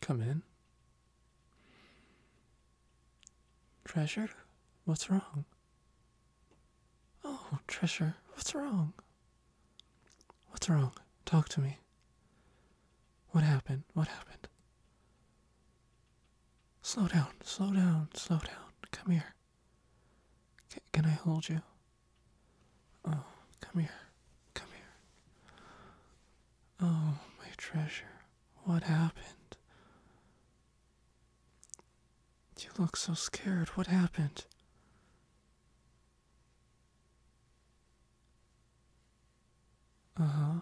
Come in. Treasure, what's wrong? Oh, Treasure, what's wrong? What's wrong? Talk to me. What happened? What happened? Slow down, slow down, slow down. Come here can I hold you? Oh, come here. Come here. Oh, my treasure. What happened? You look so scared. What happened? Uh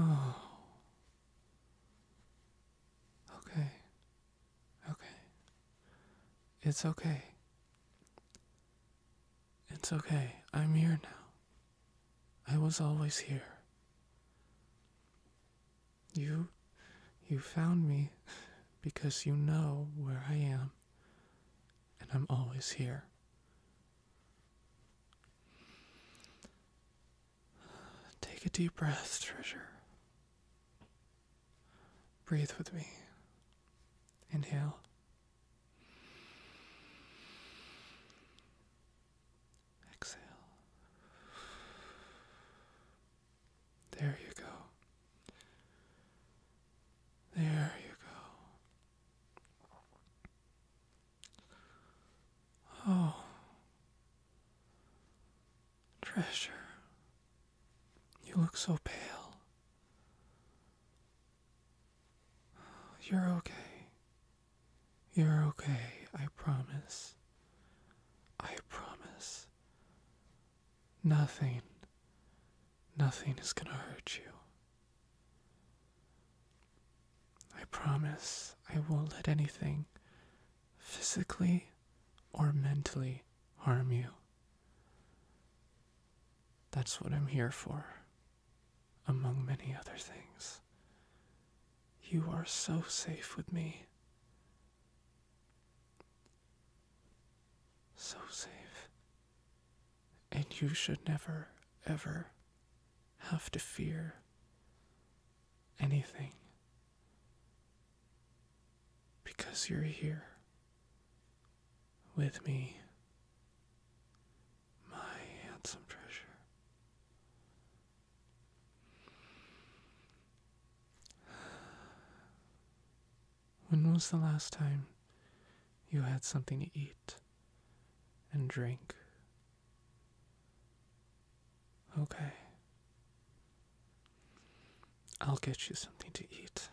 Oh. Okay. Okay. It's okay. It's okay. I'm here now. I was always here. You. You found me because you know where I am, and I'm always here. Take a deep breath, treasure. Breathe with me. Inhale. Exhale. There you go. There you go. Oh, treasure. You look so pale. You're okay. You're okay, I promise. I promise. Nothing, nothing is gonna hurt you. I promise I won't let anything physically or mentally harm you. That's what I'm here for, among many other things. You are so safe with me. So safe. And you should never, ever have to fear anything because you're here with me, my handsome treasure. When was the last time you had something to eat and drink? Okay. I'll get you something to eat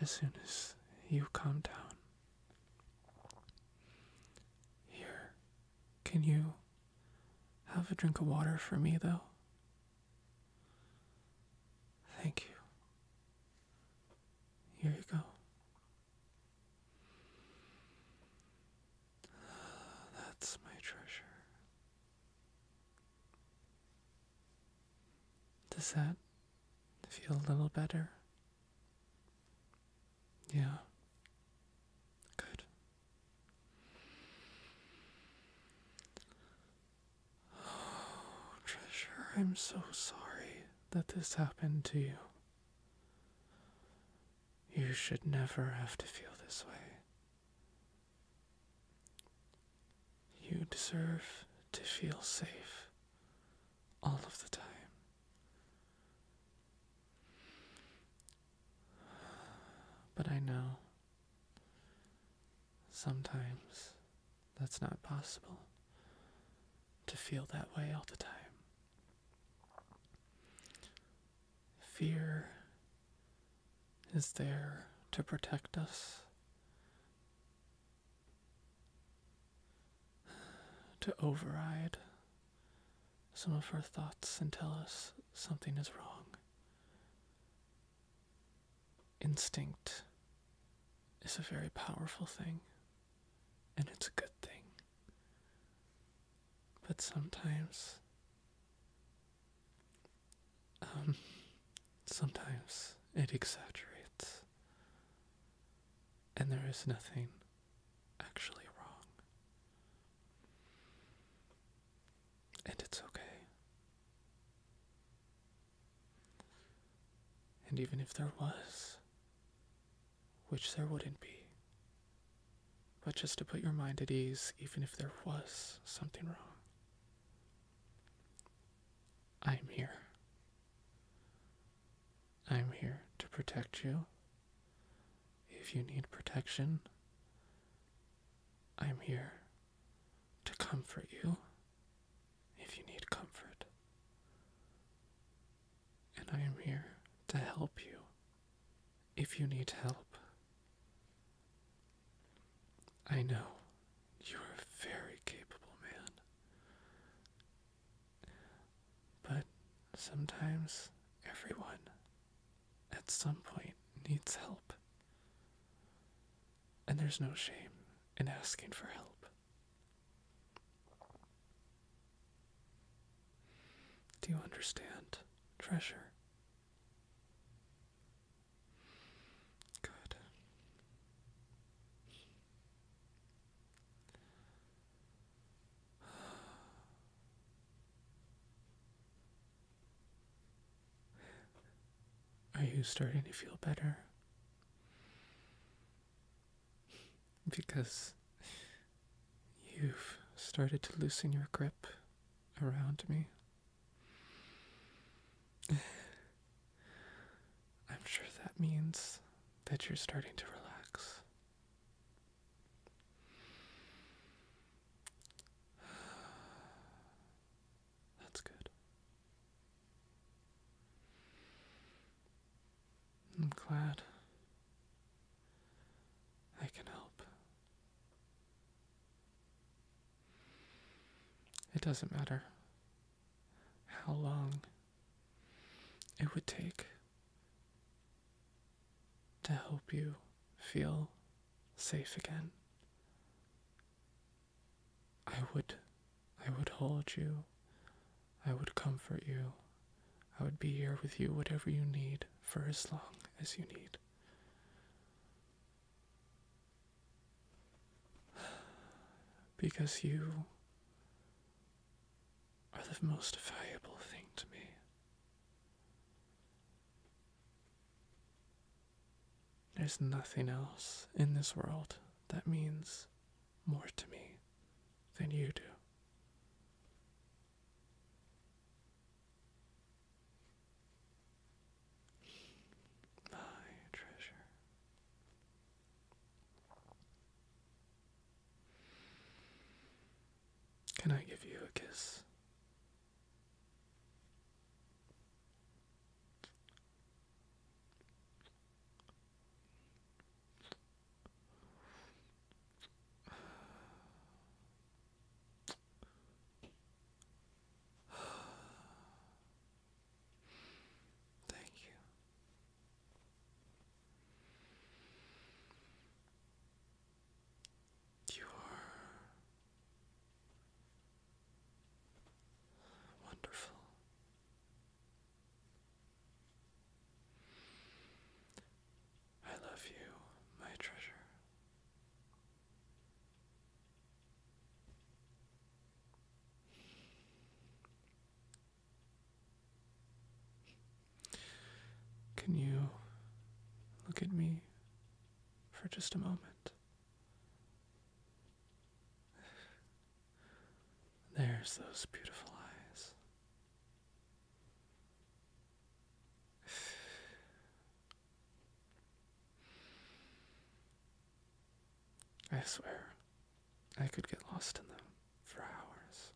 as soon as you calm down. Here, can you have a drink of water for me, though? Thank you. Here you go. That's my treasure. Does that feel a little better? Yeah. Good. Oh, treasure, I'm so sorry that this happened to you. You should never have to feel this way. You deserve to feel safe all of the time. But I know sometimes that's not possible to feel that way all the time. Fear is there to protect us, to override some of our thoughts and tell us something is wrong. Instinct is a very powerful thing, and it's a good thing. But sometimes um, sometimes it exaggerates, and there is nothing actually wrong. And it's okay. And even if there was, which there wouldn't be, but just to put your mind at ease, even if there was something wrong, I'm here. I'm here to protect you. If you need protection, I'm here to comfort you if you need comfort. And I am here to help you if you need help. I know you're a very capable man. But sometimes everyone at some point needs help. And there's no shame in asking for help. Do you understand, treasure? Good. Are you starting to feel better? Because you've started to loosen your grip around me. I'm sure that means that you're starting to relax. That's good. I'm glad. I can help. It doesn't matter how long it would take to help you feel safe again. I would I would hold you. I would comfort you. I would be here with you whatever you need for as long as you need. Because you are the most valuable thing to me. There's nothing else in this world that means more to me than you do. My treasure. Can I give you a kiss? Thank you. You are wonderful. I love you, my treasure. Can you look at me for just a moment? There's those beautiful eyes. I swear, I could get lost in them for hours.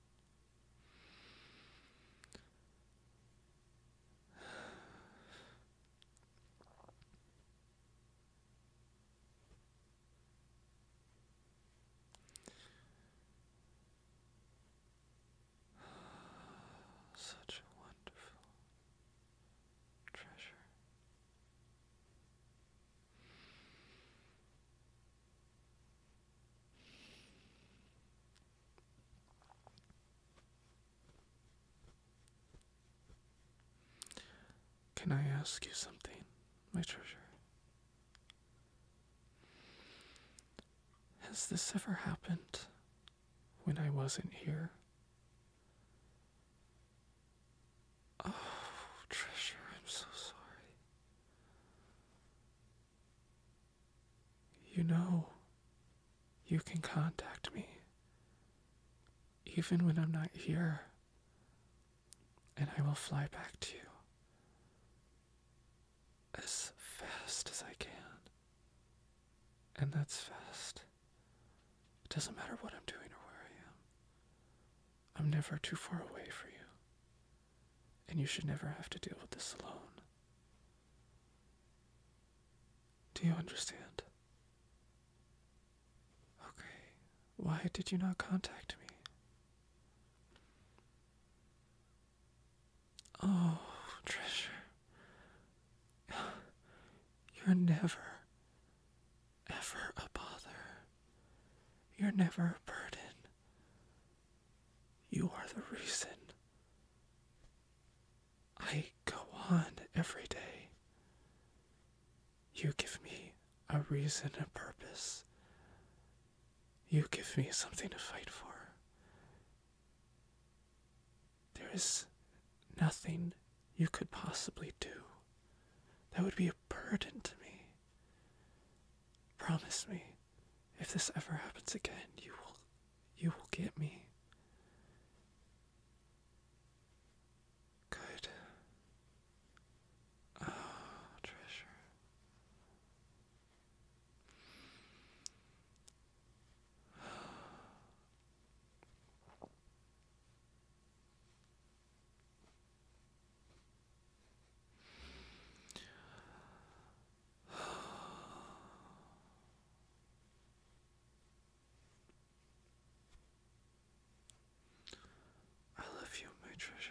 Such a wonderful treasure. Can I ask you something, my treasure? Has this ever happened when I wasn't here. Oh, Treasure, I'm so sorry. You know, you can contact me even when I'm not here, and I will fly back to you as fast as I can. And that's fast. It doesn't matter what I'm doing or where I am. I'm never too far away for you. And you should never have to deal with this alone. Do you understand? Okay, why did you not contact me? Oh, Treasure. You're never, ever a bother. You're never a burden. You are the reason I go on every day. You give me a reason, a purpose. You give me something to fight for. There is nothing you could possibly do that would be a burden to me. Promise me, if this ever happens again, you will you will get me. Good. Oh, treasure. I love you, my treasure.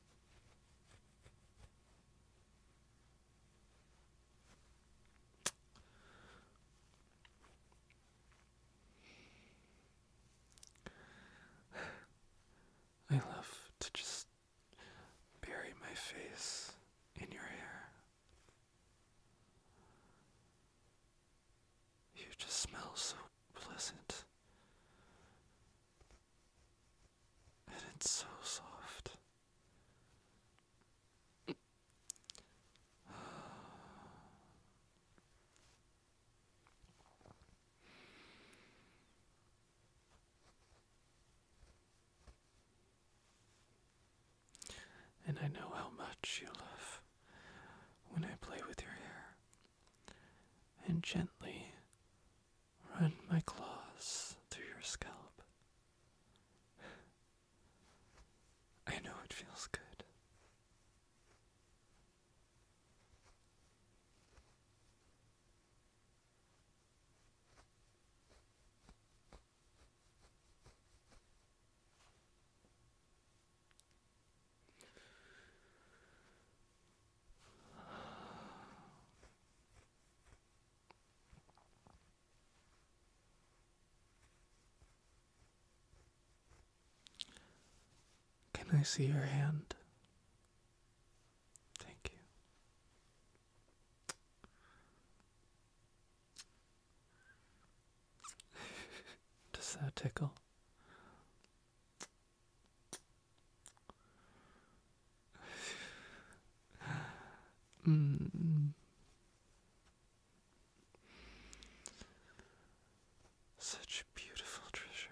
I love to just bury my face in your hair. You just smell so pleasant. And it's so soft. And I know how much you love when I play with your hair and gently Run my claws through your scalp. I know it feels good. Can I see your hand? Thank you. Does that tickle? mm. Such beautiful treasure.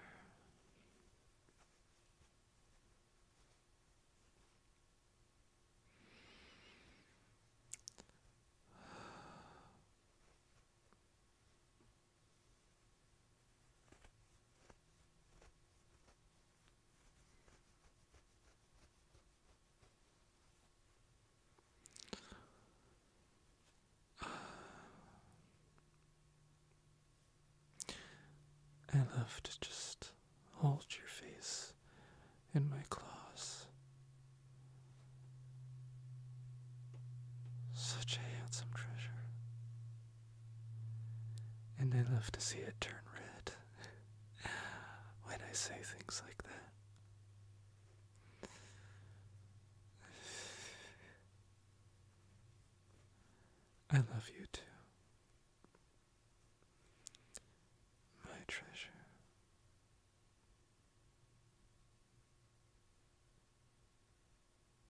I love to just hold your face in my claws. Such a handsome treasure. And I love to see it turn red when I say things like that. I love you too. My treasure.